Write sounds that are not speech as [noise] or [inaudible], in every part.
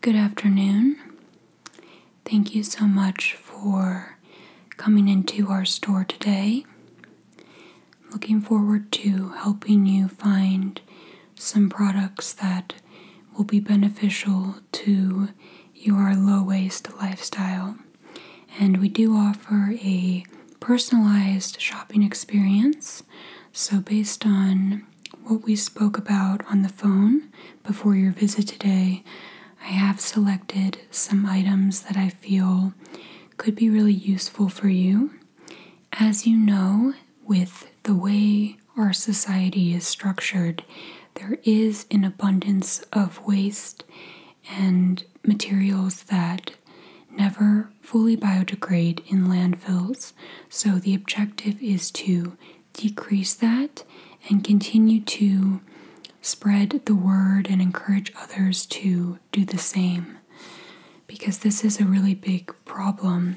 Good afternoon. Thank you so much for coming into our store today. Looking forward to helping you find some products that will be beneficial to your low waist lifestyle. And we do offer a personalized shopping experience. So, based on what we spoke about on the phone before your visit today, I have selected some items that I feel could be really useful for you. As you know, with the way our society is structured, there is an abundance of waste and materials that never fully biodegrade in landfills. So, the objective is to decrease that and continue to spread the word and encourage others to do the same because this is a really big problem.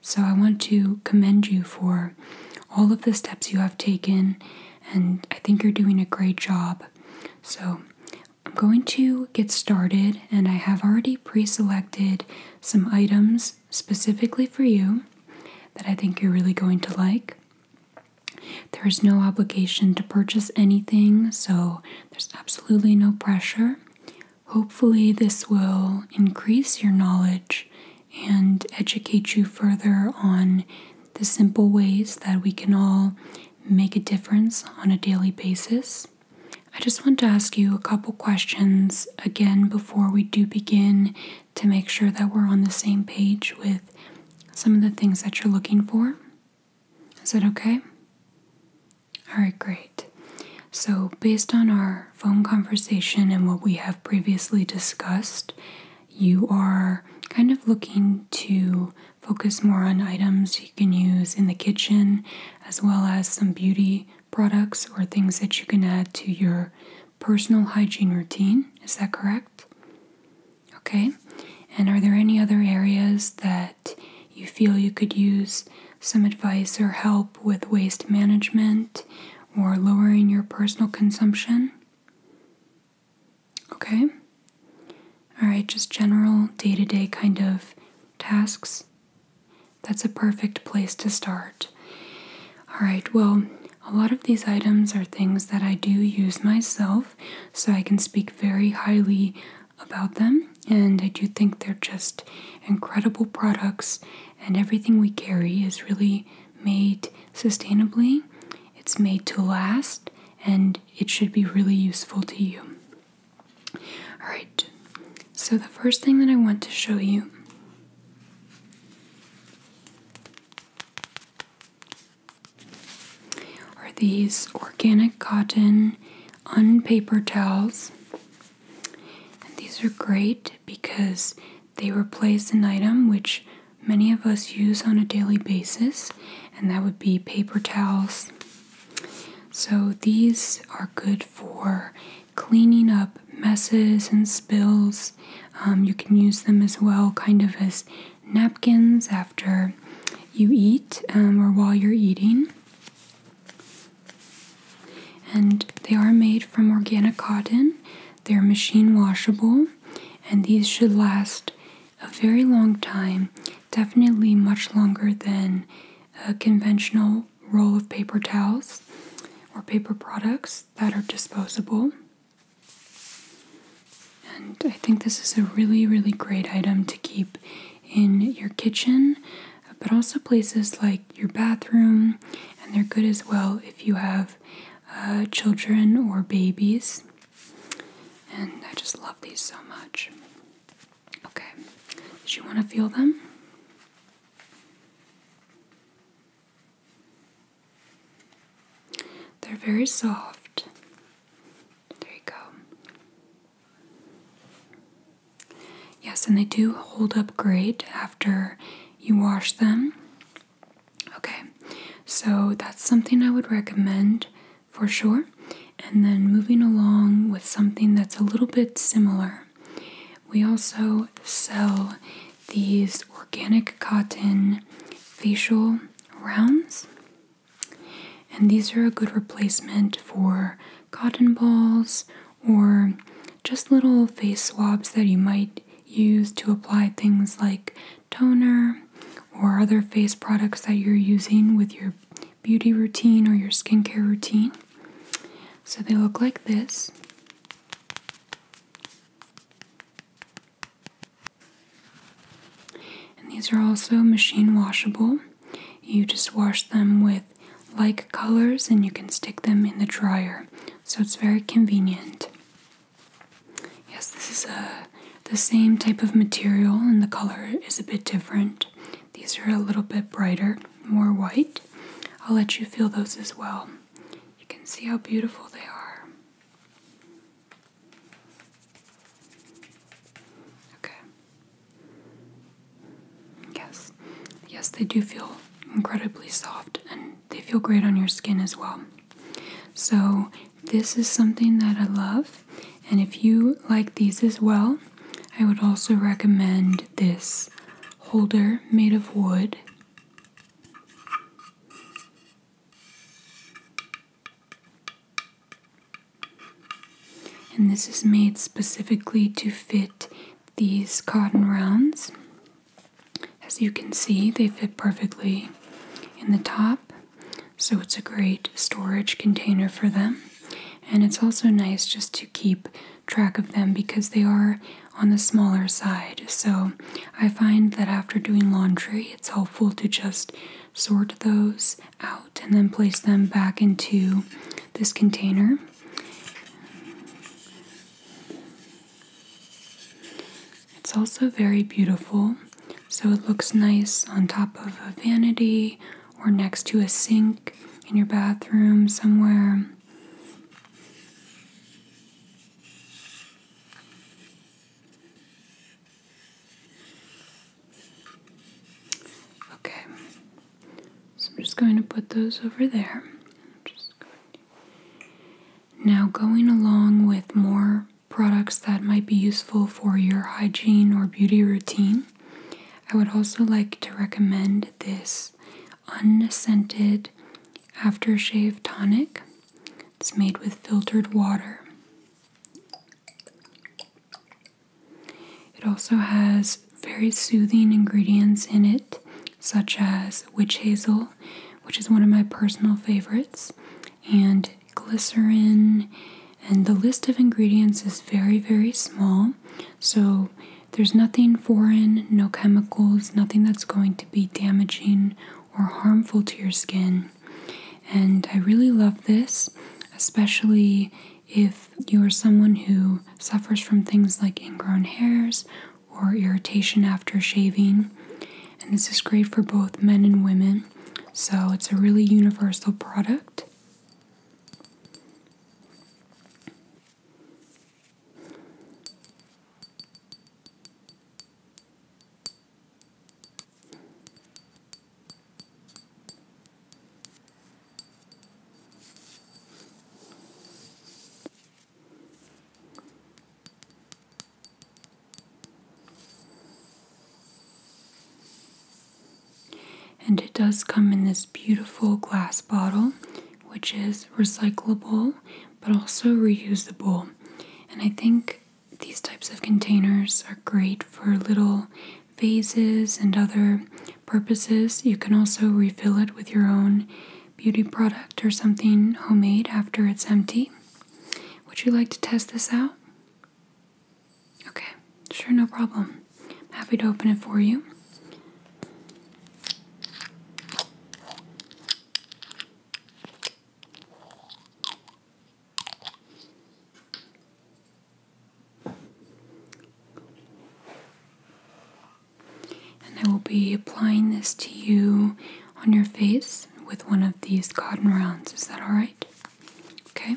So, I want to commend you for all of the steps you have taken, and I think you're doing a great job. So, I'm going to get started, and I have already pre selected some items specifically for you that I think you're really going to like. There is no obligation to purchase anything, so there's absolutely no pressure. Hopefully, this will increase your knowledge and educate you further on the simple ways that we can all make a difference on a daily basis. I just want to ask you a couple questions again before we do begin to make sure that we're on the same page with some of the things that you're looking for. Is that okay? All right, great. So, based on our phone conversation and what we have previously discussed, you are kind of looking to focus more on items you can use in the kitchen as well as some beauty products or things that you can add to your personal hygiene routine. Is that correct? Okay. And are there any other areas that you feel you could use some advice or help with waste management or lowering your personal consumption? Okay? Alright, just general day to day kind of tasks. That's a perfect place to start. Alright, well, a lot of these items are things that I do use myself, so I can speak very highly about them, and I do think they're just incredible products, and everything we carry is really made sustainably, it's made to last, and it should be really useful to you. Alright, so the first thing that I want to show you are these organic cotton unpaper towels. And these are great because they replace an item which many of us use on a daily basis, and that would be paper towels. So these are good for cleaning up messes and spills. Um, you can use them as well, kind of as napkins after you eat um, or while you're eating. And they are made from organic cotton, they're machine washable and these should last a very long time, definitely much longer than a conventional roll of paper towels or paper products that are disposable. And I think this is a really, really great item to keep in your kitchen, but also places like your bathroom, and they're good as well if you have uh, children or babies. And I just love these so much. Okay, did you want to feel them? They're very soft. There you go. Yes, and they do hold up great after you wash them. Okay, so that's something I would recommend for sure. And then moving along with something that's a little bit similar, we also sell these organic cotton facial rounds. And these are a good replacement for cotton balls or just little face swabs that you might Used to apply things like toner or other face products that you're using with your beauty routine or your skincare routine. So they look like this. And these are also machine washable. You just wash them with like colors and you can stick them in the dryer. So it's very convenient. Yes, this is a uh, the same type of material and the color is a bit different. These are a little bit brighter, more white. I'll let you feel those as well. You can see how beautiful they are. Okay. Yes. Yes, they do feel incredibly soft and they feel great on your skin as well. So, this is something that I love, and if you like these as well, I would also recommend this holder made of wood. And this is made specifically to fit these cotton rounds. As you can see, they fit perfectly in the top, so it's a great storage container for them. And it's also nice just to keep track of them because they are on the smaller side. So I find that after doing laundry, it's helpful to just sort those out and then place them back into this container. It's also very beautiful, so it looks nice on top of a vanity or next to a sink in your bathroom somewhere. Okay, so I'm just going to put those over there. Now, going along with more products that might be useful for your hygiene or beauty routine, I would also like to recommend this unscented aftershave tonic. It's made with filtered water. It also has very soothing ingredients in it, such as witch hazel, which is one of my personal favorites, and glycerin. And the list of ingredients is very, very small. So there's nothing foreign, no chemicals, nothing that's going to be damaging or harmful to your skin. And I really love this, especially if you are someone who suffers from things like ingrown hairs or irritation after shaving. And this is great for both men and women. So it's a really universal product. And it does come in this beautiful glass bottle, which is recyclable but also reusable. And I think these types of containers are great for little vases and other purposes. You can also refill it with your own beauty product or something homemade after it's empty. Would you like to test this out? Okay, sure, no problem. I'm happy to open it for you. And I will be applying this to you on your face with one of these cotton rounds. Is that alright? Okay.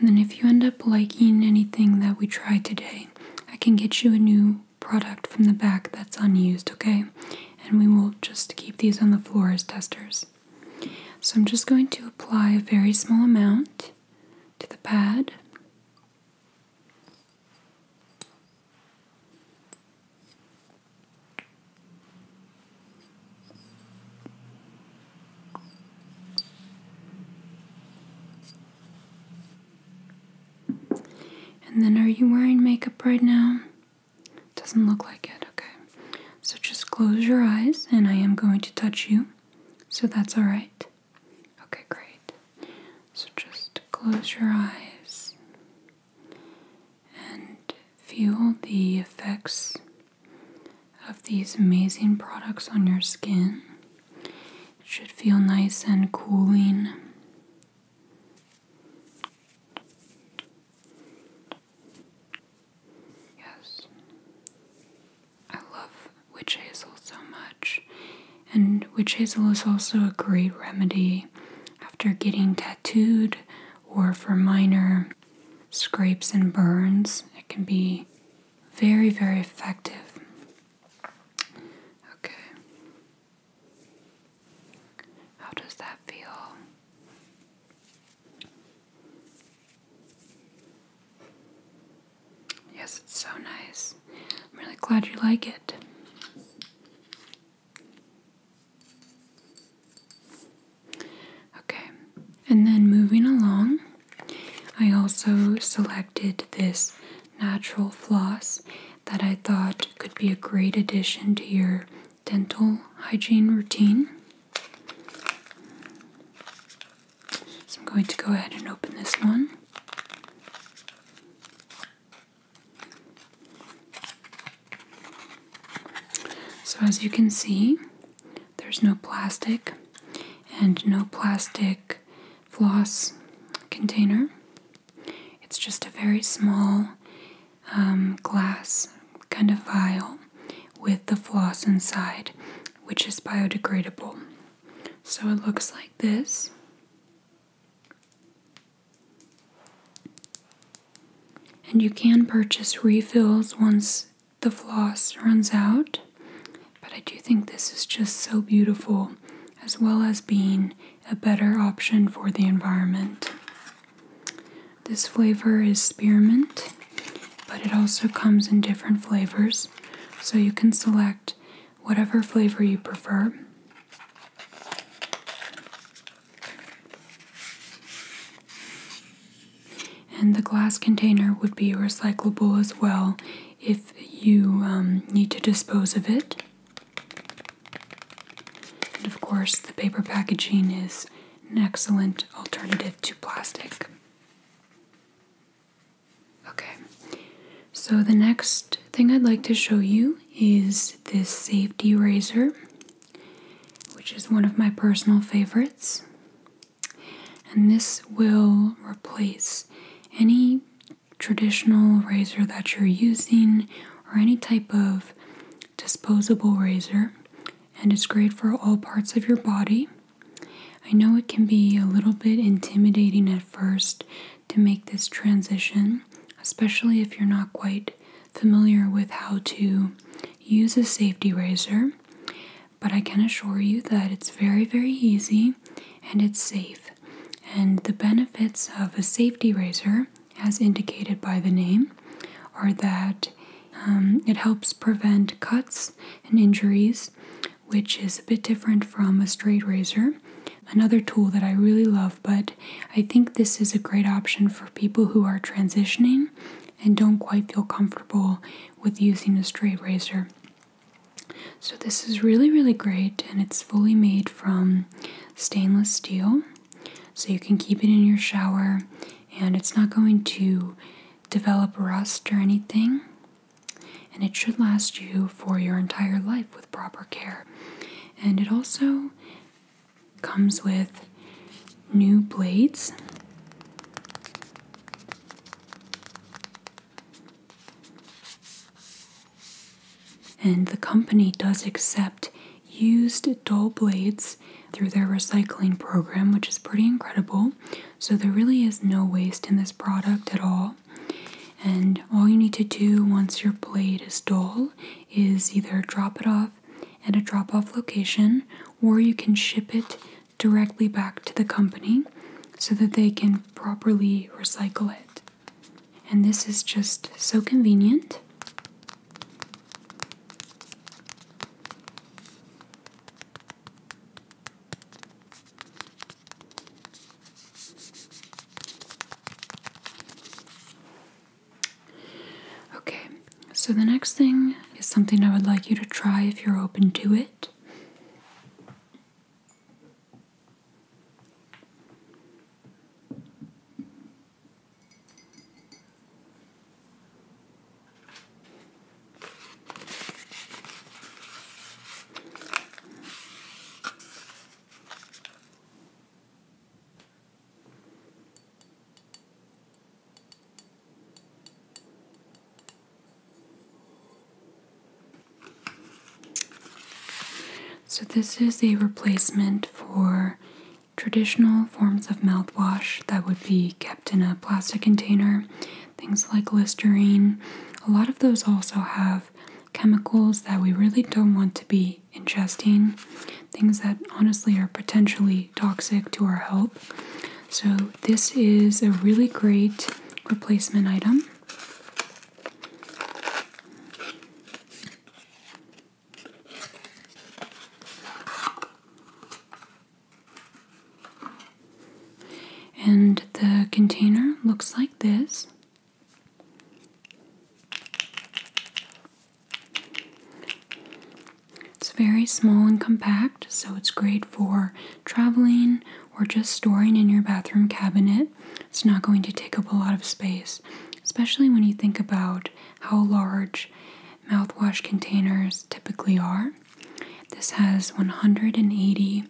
And then, if you end up liking anything that we try today, I can get you a new product from the back that's unused, okay? And we will just keep these on the floor as testers. So I'm just going to apply a very small amount to the pad. And then, are you wearing makeup right now? Doesn't look like it, okay. So just close your eyes and I am going to touch you. So that's alright. Okay, great. So just close your eyes and feel the effects of these amazing products on your skin. It should feel nice and cooling. Yes. I love witch hazel so much. And witch hazel is also a great remedy after getting tattooed or for minor scrapes and burns. It can be very, very effective. Okay. How does that feel? Yes, it's so nice. I'm really glad you like it. Okay, and then moving along, I also selected this natural floss that I thought could be a great addition to your dental hygiene routine. So I'm going to go ahead and open this one. So as you can see, there's no plastic and no plastic floss container. It's just a very small um, glass kind of vial with the floss inside, which is biodegradable. So it looks like this. And you can purchase refills once the floss runs out. But I do think this is just so beautiful, as well as being a better option for the environment. This flavor is spearmint, but it also comes in different flavors, so you can select whatever flavor you prefer. And the glass container would be recyclable as well if you um, need to dispose of it. And of course, the paper packaging is an excellent alternative to plastic. Okay, so the next thing I'd like to show you is this safety razor, which is one of my personal favorites. And this will replace any traditional razor that you're using or any type of disposable razor, and it's great for all parts of your body. I know it can be a little bit intimidating at first to make this transition, especially if you're not quite familiar with how to use a safety razor, but I can assure you that it's very, very easy and it's safe. And the benefits of a safety razor, as indicated by the name, are that um, it helps prevent cuts and injuries, which is a bit different from a straight razor. Another tool that I really love, but I think this is a great option for people who are transitioning and don't quite feel comfortable with using a straight razor. So, this is really, really great, and it's fully made from stainless steel. So, you can keep it in your shower, and it's not going to develop rust or anything. And it should last you for your entire life with proper care. And it also comes with new blades. And the company does accept used dull blades through their recycling program, which is pretty incredible. So, there really is no waste in this product at all. And all you need to do once your blade is dull is either drop it off at a drop off location or you can ship it directly back to the company so that they can properly recycle it. And this is just so convenient. Okay, so the next thing is something I would like you to try if you're open to it. So, this is a replacement for traditional forms of mouthwash that would be kept in a plastic container. Things like Listerine, a lot of those also have chemicals that we really don't want to be ingesting, things that honestly are potentially toxic to our health. So, this is a really great replacement item. And the container looks like this. It's very small and compact, so it's great for traveling or just storing in your bathroom cabinet. It's not going to take up a lot of space, especially when you think about how large mouthwash containers typically are. This has 180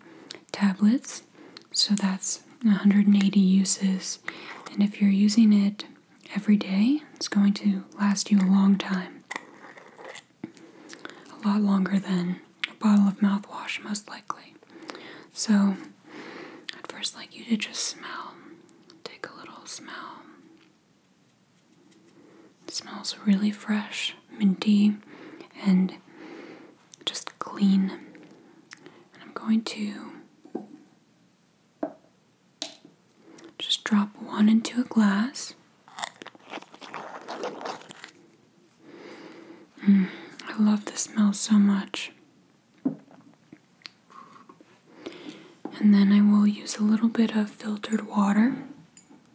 tablets, so that's 180 uses. And if you're using it every day, it's going to last you a long time. A lot longer than a bottle of mouthwash, most likely. So, I'd first like you to just smell. Take a little smell smells really fresh, minty, and just clean. And I'm going to just drop one into a glass. Mm, I love the smell so much. And then I will use a little bit of filtered water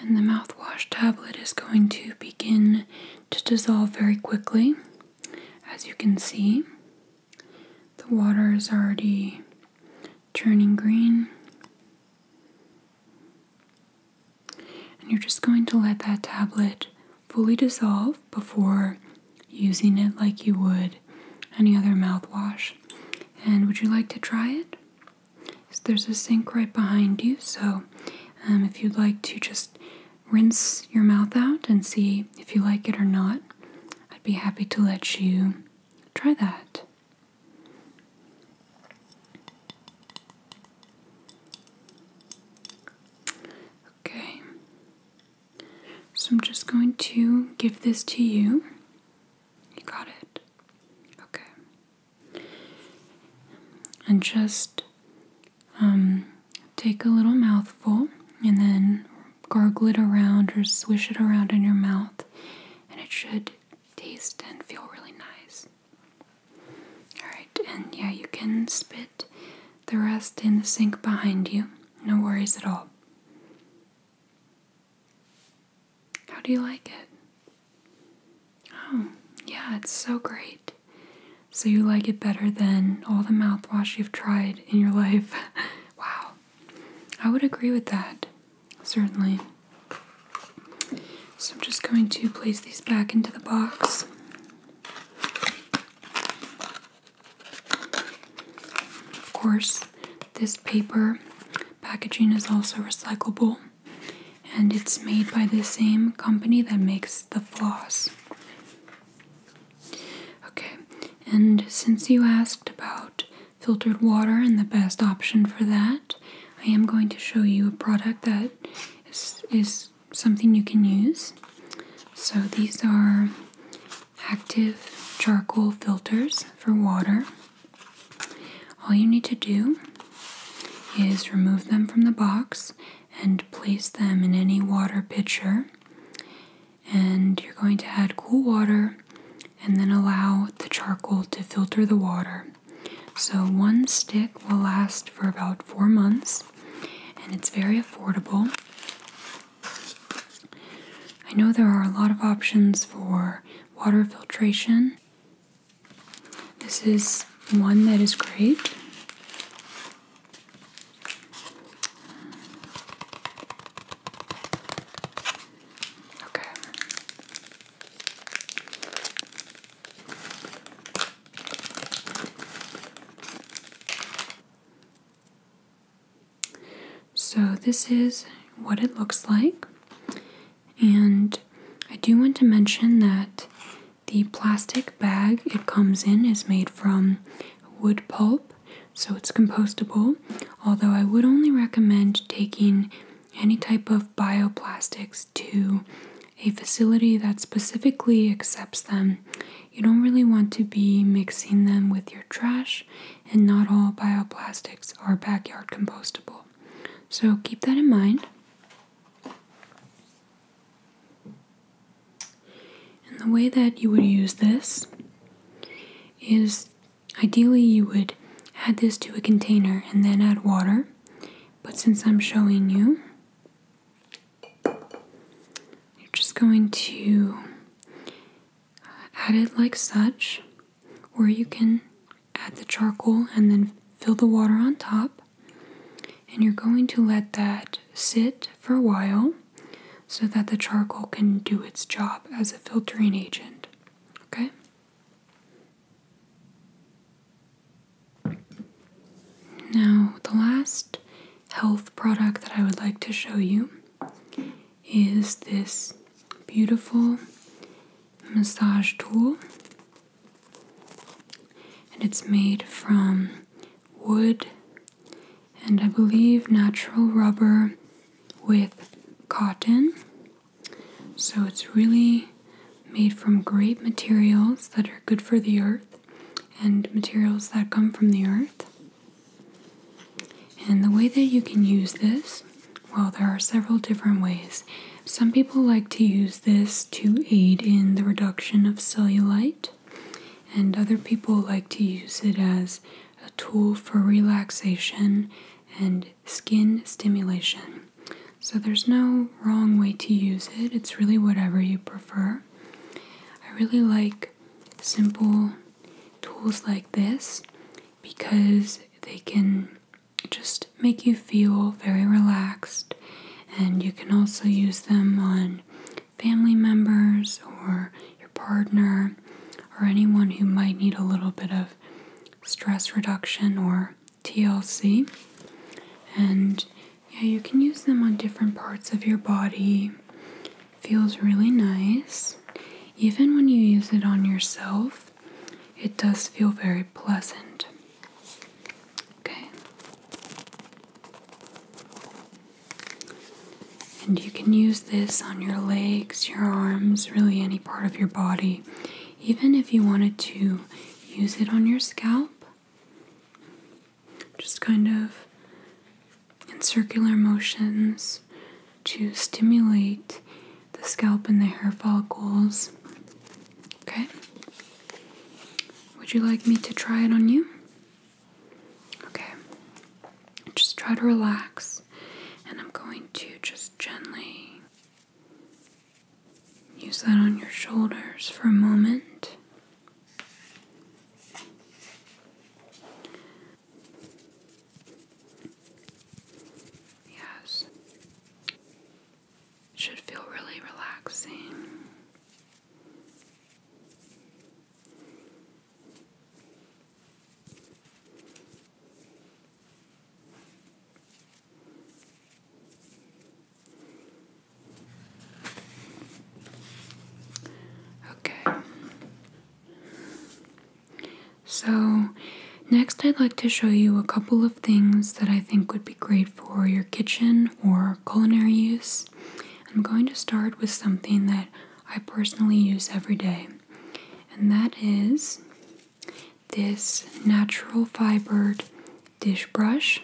And the mouthwash tablet is going to begin to dissolve very quickly. As you can see, the water is already turning green. And you're just going to let that tablet fully dissolve before using it like you would any other mouthwash. And would you like to try it? there's a sink right behind you, so um, if you'd like to just rinse your mouth out and see if you like it or not, I'd be happy to let you try that. Okay, so I'm just going to give this to you. You got it? Okay. And just um, take a little mouthful and then gargle it around or swish it around in your mouth, and it should taste and feel really nice. Alright, and yeah, you can spit the rest in the sink behind you. No worries at all. How do you like it? Oh, yeah, it's so great. So you like it better than all the mouthwash you've tried in your [laughs] life. wow. I would agree with that. Certainly. So I'm just going to place these back into the box. Of course, this paper packaging is also recyclable and it's made by the same company that makes the floss. Okay, and since you asked about filtered water and the best option for that, I am going to show you a product that is, something you can use. So these are active charcoal filters for water. All you need to do is remove them from the box and place them in any water pitcher. And you're going to add cool water and then allow the charcoal to filter the water. So, one stick will last for about four months and it's very affordable. I know there are a lot of options for water filtration. This is one that is great. Okay. So, this is what it looks like. And I do want to mention that the plastic bag it comes in is made from wood pulp, so it's compostable. Although, I would only recommend taking any type of bioplastics to a facility that specifically accepts them you don't really want to be mixing them with your trash, and not all bioplastics are backyard compostable. So keep that in mind. And the way that you would use this is ideally you would add this to a container and then add water. But since I'm showing you, you're just going to add it like such, or you can add the charcoal and then fill the water on top. And you're going to let that sit for a while so that the charcoal can do its job as a filtering agent. Okay? Now, the last health product that I would like to show you is this beautiful massage tool. And it's made from wood and I believe natural rubber with cotton. So it's really made from great materials that are good for the earth and materials that come from the earth. And the way that you can use this, well, there are several different ways. Some people like to use this to aid in the reduction of cellulite, and other people like to use it as a tool for relaxation and skin stimulation. So there's no wrong way to use it, it's really whatever you prefer. I really like simple tools like this because they can just make you feel very relaxed, and you can also use them on family members or your partner or anyone who might need a little bit of stress reduction or TLC. And yeah, you can use them on different parts of your body Feels really nice. Even when you use it on yourself, it does feel very pleasant. Okay. And you can use this on your legs, your arms, really any part of your body. Even if you wanted to use it on your scalp, just kind of and circular motions to stimulate the scalp and the hair follicles. Okay. Would you like me to try it on you? Okay. Just try to relax, and I'm going to just gently use that on your shoulders for a moment. Yes. Should feel really relaxing. Okay. So, next I'd like to show you a couple of things that I think would be great for your kitchen or culinary use. I'm going to start with something that I personally use every day, and that is this natural fibered dish brush.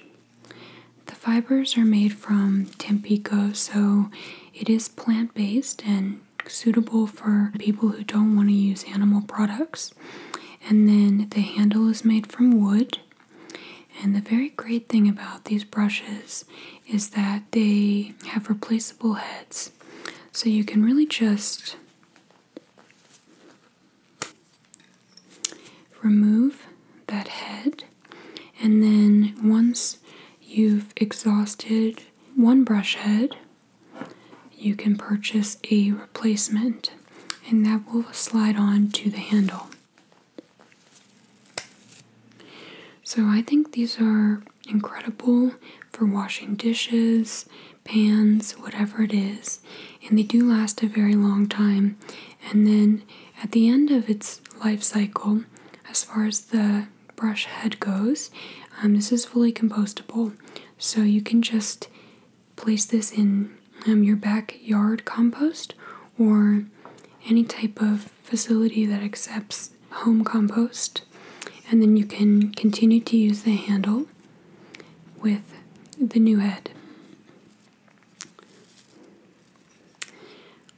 The fibers are made from Tampico, so it is plant based and suitable for people who don't want to use animal products. And then the handle is made from wood. And the very great thing about these brushes is that they have replaceable heads. So you can really just remove that head. And then once you've exhausted one brush head, you can purchase a replacement, and that will slide on to the handle. So, I think these are incredible for washing dishes, pans, whatever it is, and they do last a very long time. And then at the end of its life cycle, as far as the brush head goes. Um, this is fully compostable, so you can just place this in um, your backyard compost or any type of facility that accepts home compost. And then you can continue to use the handle with the new head.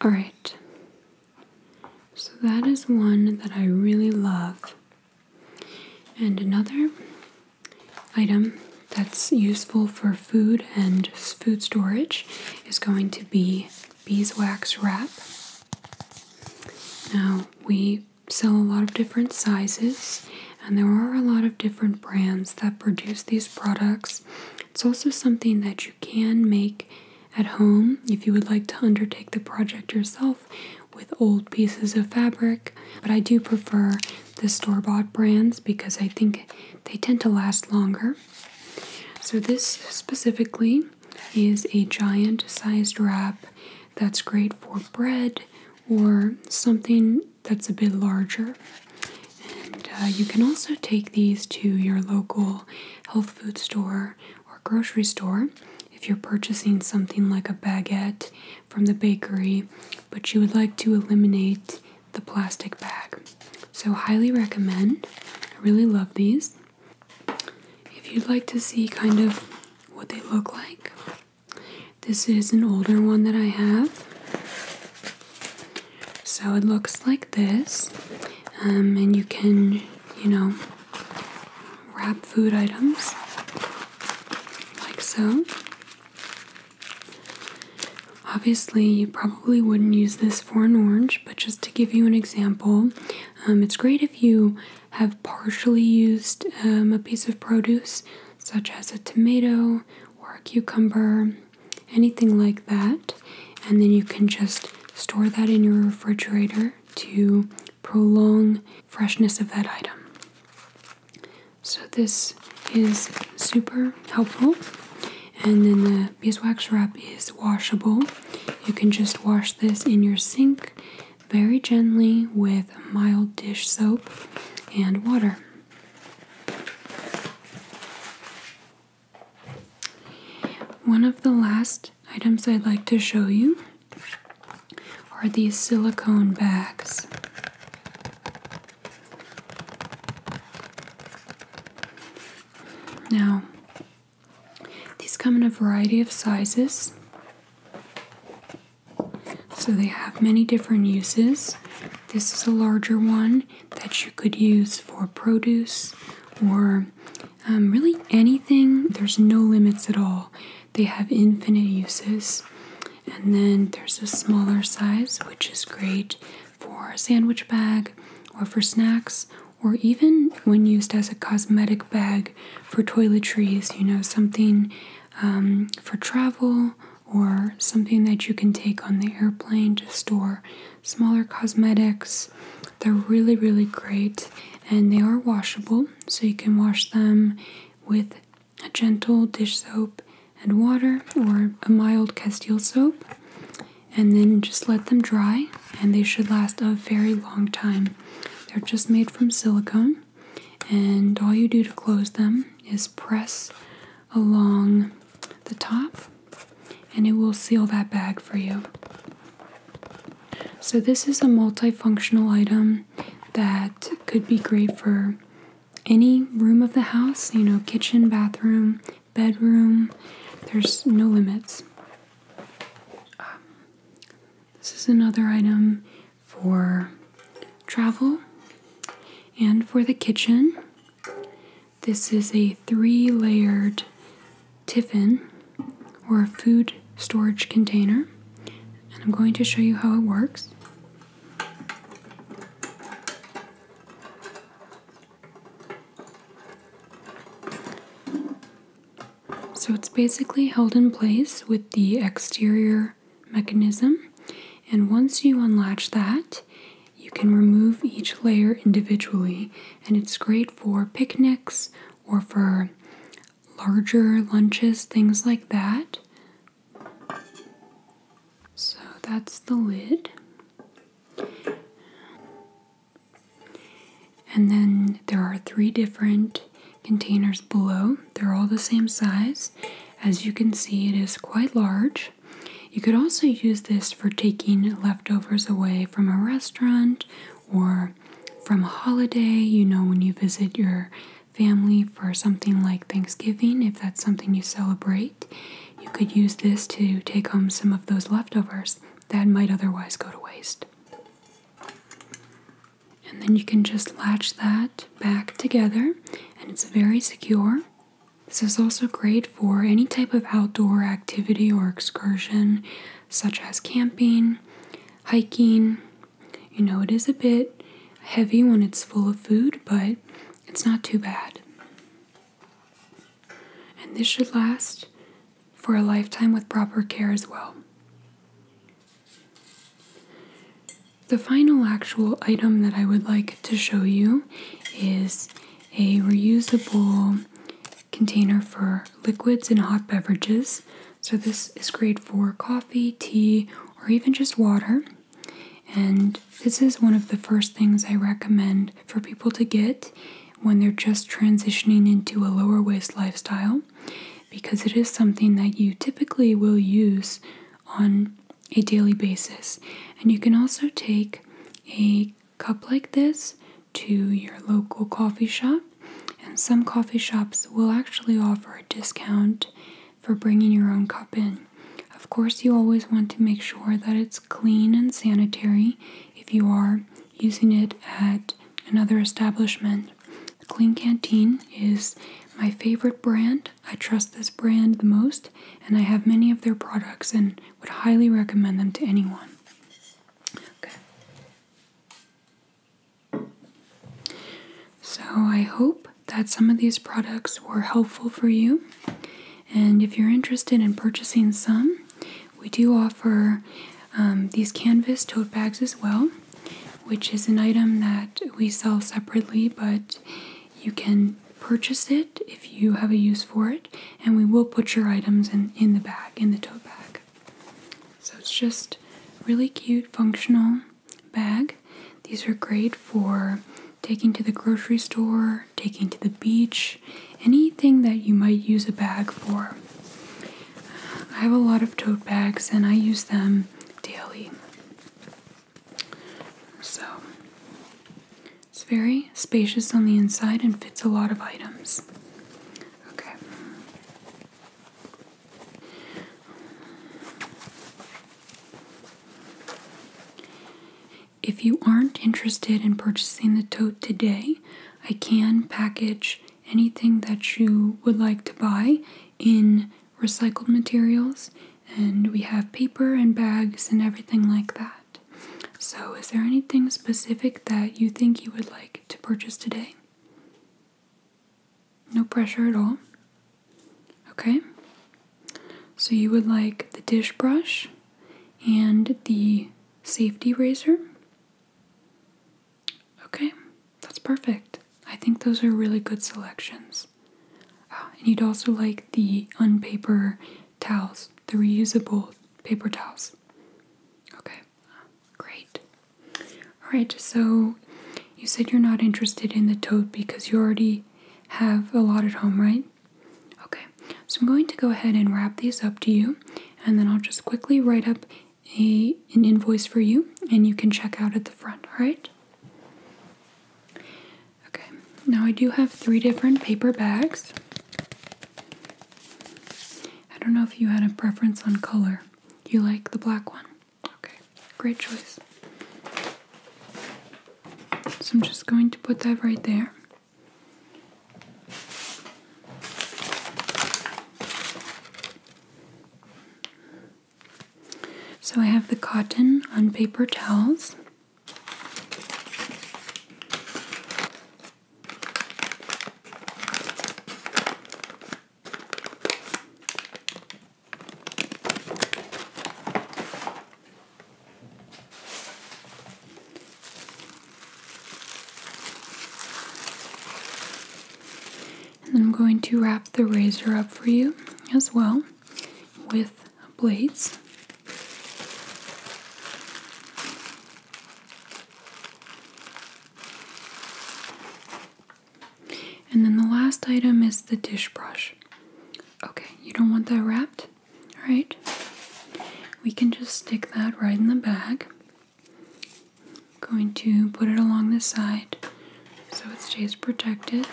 All right, so that is one that I really love. And another item that's useful for food and food storage is going to be beeswax wrap. Now, we sell a lot of different sizes, and there are a lot of different brands that produce these products. It's also something that you can make at home, if you would like to undertake the project yourself with old pieces of fabric, but I do prefer the store bought brands because I think they tend to last longer. So, this specifically is a giant sized wrap that's great for bread or something that's a bit larger. And uh, you can also take these to your local health food store or grocery store if you're purchasing something like a baguette from the bakery, but you would like to eliminate the plastic bag. So, highly recommend. I really love these. If you'd like to see kind of what they look like, this is an older one that I have. So it looks like this, um, and you can, you know, wrap food items like so. Obviously, you probably wouldn't use this for an orange, but just to give you an example, um, it's great if you have partially used um, a piece of produce, such as a tomato or a cucumber, anything like that, and then you can just store that in your refrigerator to prolong freshness of that item. So this is super helpful. And then the beeswax wrap is washable. You can just wash this in your sink very gently with mild dish soap and water. One of the last items I'd like to show you are these silicone bags. Now, these come in a variety of sizes, so they have many different uses. This is a larger one that you could use for produce or um, really, anything, there's no limits at all. They have infinite uses. And then there's a smaller size, which is great for a sandwich bag or for snacks, or even when used as a cosmetic bag for toiletries, you know, something um, for travel or something that you can take on the airplane to store smaller cosmetics they're really, really great and they are washable, so you can wash them with a gentle dish soap and water or a mild Castile soap, and then just let them dry, and they should last a very long time. They're just made from silicone, and all you do to close them is press along the top, and it will seal that bag for you. So, this is a multifunctional item that could be great for any room of the house you know, kitchen, bathroom, bedroom. There's no limits. Um, this is another item for travel and for the kitchen. This is a three layered tiffin or a food storage container and I'm going to show you how it works. So it's basically held in place with the exterior mechanism and once you unlatch that you can remove each layer individually and it's great for picnics or for larger lunches, things like that. So that's the lid. And then there are three different containers below. They're all the same size. As you can see, it is quite large. You could also use this for taking leftovers away from a restaurant or from a holiday, you know, when you visit your family for something like Thanksgiving, if that's something you celebrate, you could use this to take home some of those leftovers that might otherwise go to waste. And then you can just latch that back together, and it's very secure. This is also great for any type of outdoor activity or excursion such as camping, hiking. You know, it is a bit heavy when it's full of food, but it's not too bad. And this should last for a lifetime with proper care as well. The final actual item that I would like to show you is a reusable container for liquids and hot beverages. So, this is great for coffee, tea, or even just water. And this is one of the first things I recommend for people to get when they're just transitioning into a lower waste lifestyle because it is something that you typically will use on a daily basis. And you can also take a cup like this to your local coffee shop and some coffee shops will actually offer a discount for bringing your own cup in. Of course, you always want to make sure that it's clean and sanitary if you are using it at another establishment. Clean Canteen is my favorite brand. I trust this brand the most, and I have many of their products and would highly recommend them to anyone. So, I hope that some of these products were helpful for you. And if you're interested in purchasing some, we do offer um, these canvas tote bags as well, which is an item that we sell separately, but you can purchase it if you have a use for it, and we will put your items in, in the bag, in the tote bag. So it's just really cute, functional bag. These are great for taking to the grocery store, taking to the beach, anything that you might use a bag for. I have a lot of tote bags and I use them daily. So it's very spacious on the inside and fits a lot of items. Okay. If you aren't interested in purchasing the tote today, I can package anything that you would like to buy in recycled materials, and we have paper and bags and everything like that. So, is there anything specific that you think you would like to purchase today? No pressure at all. Okay. So you would like the dish brush and the safety razor. Okay, that's perfect. I think those are really good selections. Ah, and you'd also like the unpaper towels, the reusable paper towels. Okay. Great. Alright, so you said you're not interested in the tote because you already have a lot at home, right? Okay, so I'm going to go ahead and wrap these up to you, and then I'll just quickly write up a, an invoice for you, and you can check out at the front, alright? Okay, now I do have three different paper bags. I don't know if you had a preference on color. you like the black one? Okay, great choice. So I'm just going to put that right there. So I have the cotton on paper towels. And I'm going to wrap the razor up for you as well with blades. And then the last item is the dish brush. Okay, you don't want that wrapped? Alright, we can just stick that right in the bag. I'm going to put it along the side so it stays protected.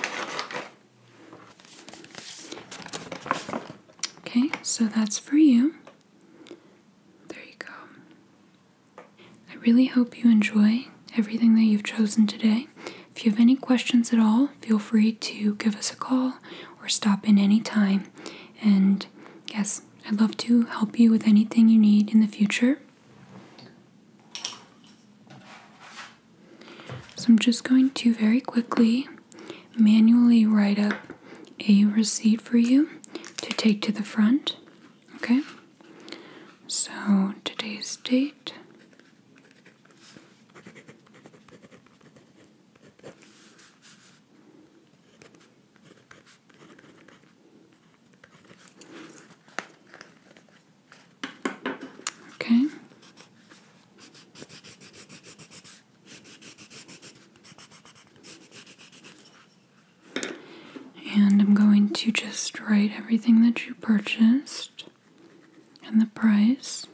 Okay, so that's for you. There you go. I really hope you enjoy everything that you've chosen today. If you have any questions at all, feel free to give us a call or stop in any time. And yes, I'd love to help you with anything you need in the future. So I'm just going to very quickly manually write up a receipt for you to take to the front. Okay? So today's date Okay. And I'm going to just write everything that you purchased and the price.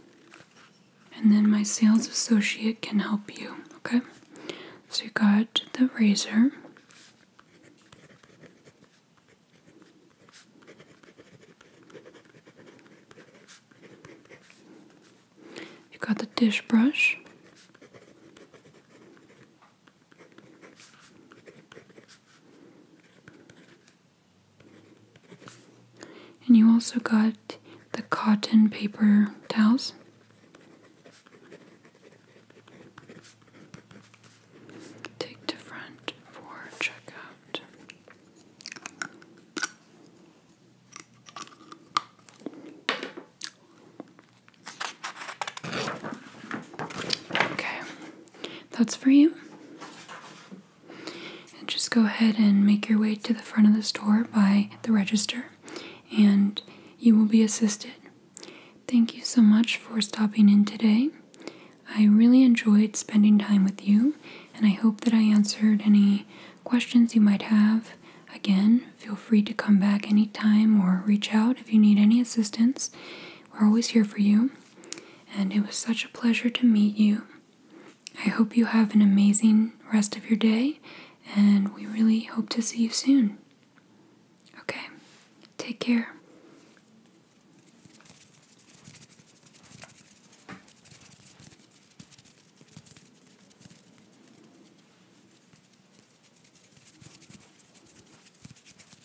And then my sales associate can help you, okay? So you got the razor. You got the dish brush. And you also got the cotton paper towels. Take to front for checkout. Okay, that's for you. just go ahead and make your way to the front of the store by the register, and you will be assisted. Thank you so much for stopping in today. I really enjoyed spending time with you, and I hope that I answered any questions you might have. Again, feel free to come back anytime or reach out if you need any assistance. We're always here for you, and it was such a pleasure to meet you. I hope you have an amazing rest of your day, and we really hope to see you soon. Okay, take care.